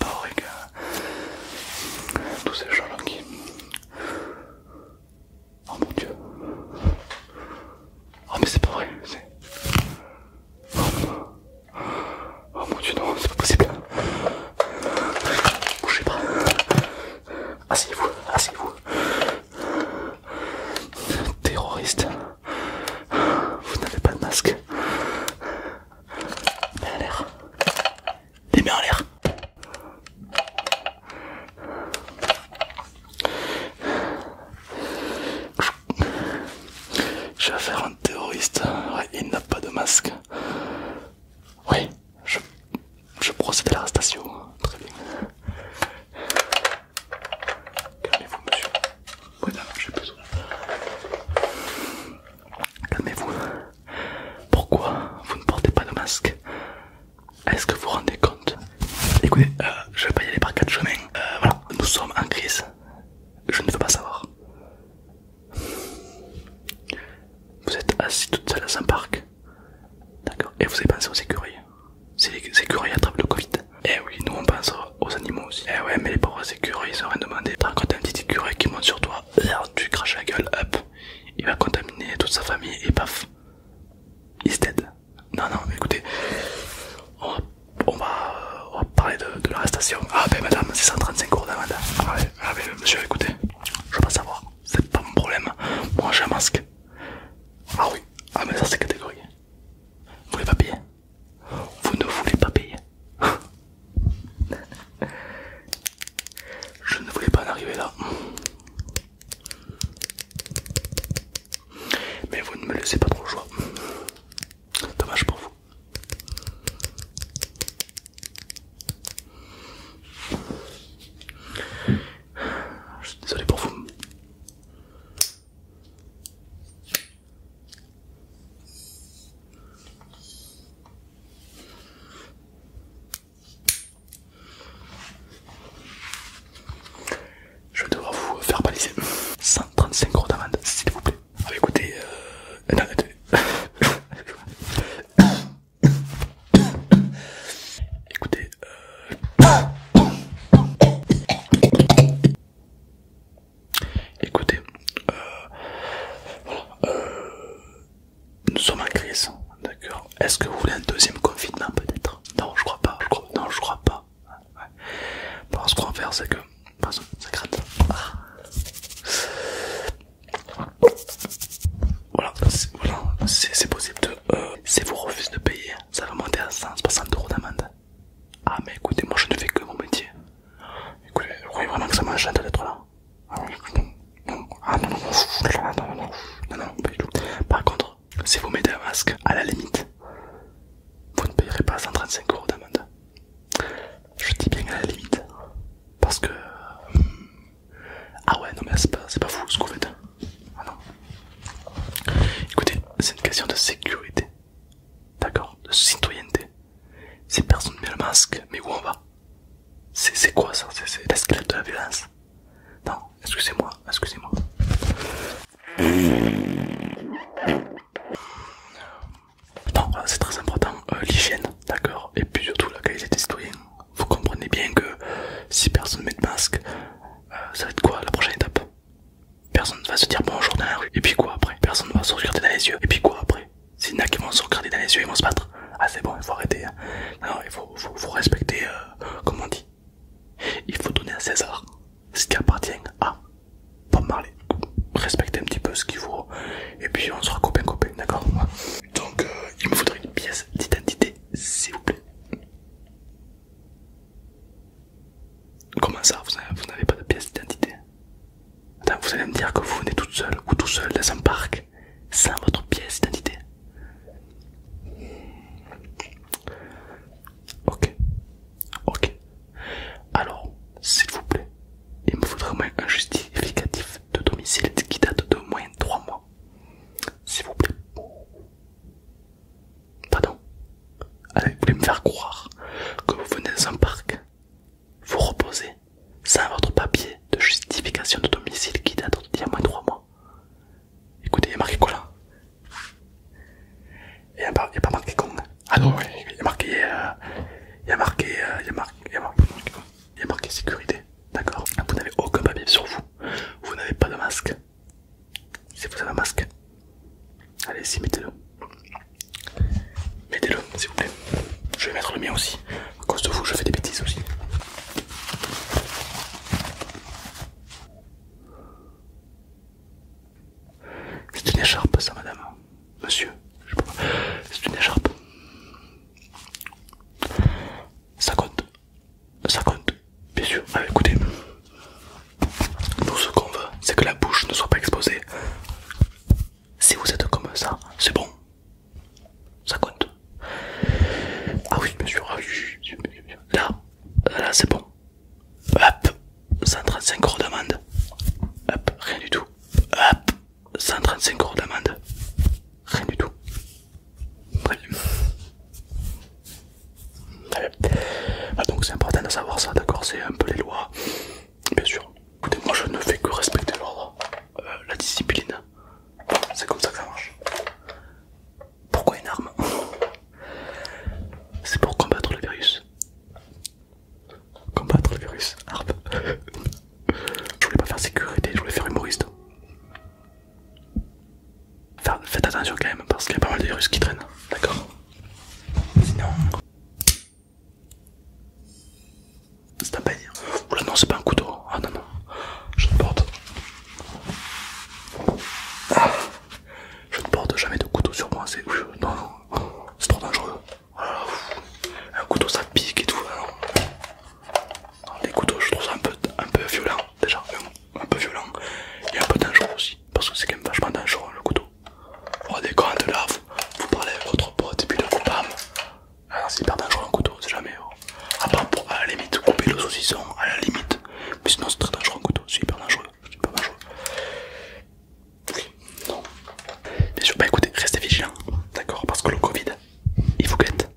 Borrega, tous ces gens-là qui... Oh mon dieu. Oh mais c'est pas vrai. Oh, mon dieu non, c'est pas possible. Bougez pas. Asseyez-vous, asseyez-vous. Terroriste. Vous n'avez pas de masque. Mets en l'air. Les mains en l'air. Je vais faire un terroriste. Ouais, il n'a pas de masque. Oui, je, je procède à l'arrestation. Très bien. Calmez-vous, monsieur. Voilà, j'ai besoin. Calmez-vous. Pourquoi vous ne portez pas de masque Est-ce que vous vous rendez compte Écoutez, euh, je vais pas y aller par quatre chemins. Euh, voilà, nous sommes en crise. Je ne veux pas savoir. Vous êtes assis toute seule à un parc. D'accord. Et vous avez pensé aux écuries. C'est les écuries travers le Covid. Eh oui, nous on pense aux animaux aussi. Eh ouais, mais les pauvres écureuils, ils ont rien demandé. Par t'as un petit écureuil qui monte sur toi, tu craches la gueule, hop, il va contaminer toute sa famille et paf, he's dead. Non, non, mais écoutez, on va, parler de, l'arrestation. Ah, ben madame, c'est 135 euros d'amende. Ah, ben monsieur, écoutez, je veux pas savoir, c'est pas mon problème. Moi, j'ai un masque. Ah oui, ah, mais ça, c'est catégorie. Vous voulez pas payer vous ne voulez pas payer. Je ne voulais pas en arriver là. Mais vous ne me laissez pas trop le choix. Dommage pour vous. Je suis désolé pour vous. Je vais devoir vous faire baliser 135 euros d'amende, s'il vous plaît. Ah, bah, écoutez, euh, écoutez, euh, Écoutez, euh, euh, nous sommes en crise, d'accord Est-ce que vous voulez un deuxième confinement peut-être Non, je crois pas, non, je crois pas. ce qu'on va faire, c'est que. ça gratte. Voilà, c'est possible de. Euh, si vous refusez de payer, ça va monter à 160 euros d'amende. Ah mais écoutez, moi je ne fais que mon métier. Écoutez, vous croyez vraiment que ça m'enchante d'être là Ah, ah non, non, non, non, non, non, non, pas du tout. Par contre, si vous mettez un masque, à la limite, vous ne payerez pas 135 euros d'amende. Je dis bien à la limite, parce que... Euh, ah ouais, non mais c'est pas, pas fou ce qu'on fait. Ah non. Écoutez, c'est une question de sécurité. D'accord De citoyenneté. personne ne met le masque, mais où on va C'est quoi ça C'est l'escalade de la violence Non, excusez-moi, excusez-moi. Non, c'est très important, euh, l'hygiène, d'accord Et puis surtout la qualité des citoyens. Vous comprenez bien que si personne ne met de masque, euh, ça va être quoi la prochaine étape Personne ne va se dire bonjour dans la rue. Et puis quoi après Personne ne va se regarder dans les yeux. Et puis quoi après S'il y en a qui vont se regarder dans les yeux, ils vont se battre. Ah c'est bon, il faut arrêter. Hein. Non, il faut, respecter, euh, comme on dit. Il faut donner à César ce qui appartient à Bob Marley. Respectez un petit peu ce qu'il faut. Et puis on sera copains copains, d'accord Donc euh, il me faudrait une pièce d'identité, s'il vous plaît. Comment ça, vous n'avez pas de pièce d'identité vous allez me dire que vous venez toute seule ou tout seul dans un parc sans votre pièce d'identité. Ok, ok. Alors, s'il vous plaît, il me faudrait un justificatif de domicile qui date de moins de 3 mois. S'il vous plaît. Pardon Allez, Vous voulez me faire croire que vous venez dans un parc vous reposez sans votre papier de justification de domicile qui date d'il y a moins de 3 mois Écoutez, il y a marqué quoi là Il n'y a, pas marqué con Ah non, il y a marqué... il y marqué... il y a marqué... Il y a marqué, il y a marqué sécurité, d'accord Vous n'avez aucun papier sur vous, vous n'avez pas de masque. Si vous avez un masque, Allez, si, mettez-le. Mettez-le, s'il vous plaît. Je vais mettre le mien aussi. À cause de vous, je fais des bêtises aussi. C'est une écharpe, ça, madame. Monsieur, je sais pas. C'est une écharpe. Ça compte. Ça compte. Bien sûr. Ah, écoutez. Nous, ce qu'on veut, c'est que la bouche ne soit pas exposée. Si vous êtes comme ça, c'est bon. Ça compte. Ah oui, bien sûr. Là, là c'est bon. Hop, 135 euros d'amende. Hop, rien du tout. Hop, 135 euros d'amende. Rien du tout. Ah, donc c'est important de savoir ça, d'accord C'est un peu les lois, bien sûr. Écoutez, moi je ne fais que respecter l'ordre, euh, la discipline. C'est comme ça que ça marche. Pourquoi une arme C'est pour combattre le virus. Combattre le virus, arme. je voulais pas faire sécurité, je voulais faire humoriste. Faites attention quand même parce qu'il y a pas mal de virus qui traînent, d'accord Sinon... C'est un Oh là non, c'est pas un couteau. Ah non, non. Je ne porte... Ah. Je ne porte jamais de couteau sur moi. C'est... Non, non. C'est trop dangereux. Oh un couteau ça pique et tout. Hein, les couteaux je trouve ça un peu, un peu violent déjà. Un peu violent et un peu dangereux aussi. Parce que c'est quand même vachement dangereux le couteau. Oh des de là, vous, parlez avec votre pote et puis le coup bam ah, c'est hyper dangereux un couteau, c'est jamais. A oh. à pour à la limite couper le saucisson, à la limite. Mais sinon c'est très dangereux un couteau, c'est hyper dangereux, c'est hyper dangereux. Oui, non. Bien sûr, bah écoutez, restez vigilants, d'accord, parce que le Covid, il vous guette.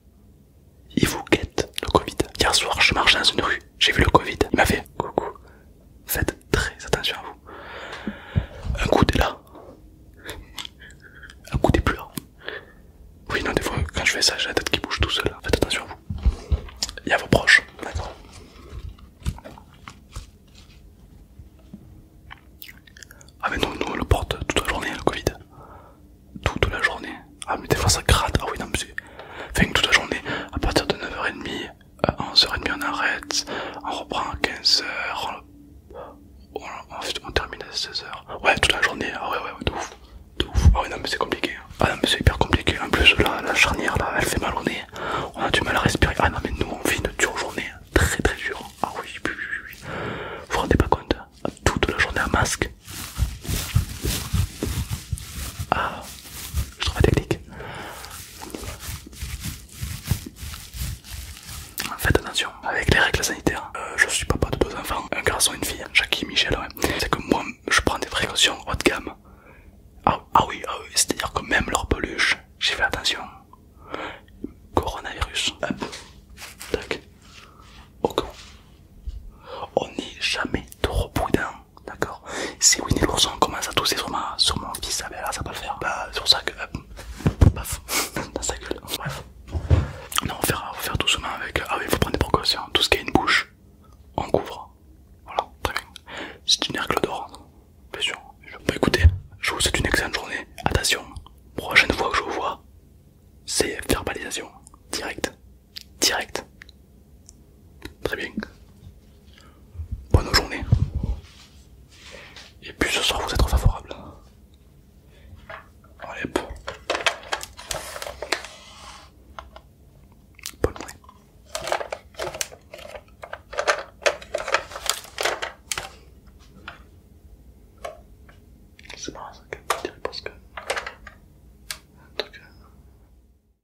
Il vous guette, le Covid. Hier soir, je marche dans une rue, j'ai vu le Covid, il m'a fait coucou, Faites très attention à vous. Un coup est là, un coup est plus là. Oui, non, des fois quand je fais ça, j'ai la tête qui bouge tout seul. Hein. Faites attention à vous. Il y a vos proches, d'accord Ah, mais nous on le porte toute la journée, hein, le Covid. Toute la journée. Ah, mais des fois ça gratte. Ah, oui, non, mais c'est. une toute la journée, à partir de 9h30, à euh, 11h30 on arrête, on reprend à 15h, on, termine à 16h. Ouais, toute la journée, ah ouais, ouais, ouais de ouf, de ouf. Ah ouais, non, mais c'est compliqué. Hein. Ah non, mais c'est hyper compliqué. En plus, la, charnière là, elle fait mal au nez, on a du mal à respirer. Ah non, mais nous on vit une dure journée, hein. très très dure. Hein. Ah oui, oui, oui, oui. Vous vous rendez pas compte, toute la journée à masque. Ah, je trouve la technique. Faites attention avec les règles sanitaires. Euh, je suis papa de deux enfants, un garçon et une fille, Jackie et Michel. Ouais. C'est que moi je prends des précautions haut de gamme. Ah, ah oui, ah oui. c'est à dire que même leur peluche, j'ai fait attention. Coronavirus. Tac. Ok. On n'est jamais trop prudent d'accord C'est Winnie l'ourson commence à tousser sur, ma, sur mon fils, là ça va le faire. Bah sur ça que... Euh, paf, dans sa gueule, bref. Non, on va faire doucement avec... Euh, ah oui, il faut prendre des précautions, tout ce qui a une bouche, on couvre. Voilà, très bien. C'est une hercle d'or, hein. bien sûr. Bah, écoutez, je vous souhaite une excellente journée. Attention, prochaine fois que je vous vois, c'est verbalisation, directe, direct, Très bien. Bonne journée. Et puis ce soir vous êtes favorable. Allez bon Bonne journée. C'est marrant ça qu'elle même, je dirais que... tout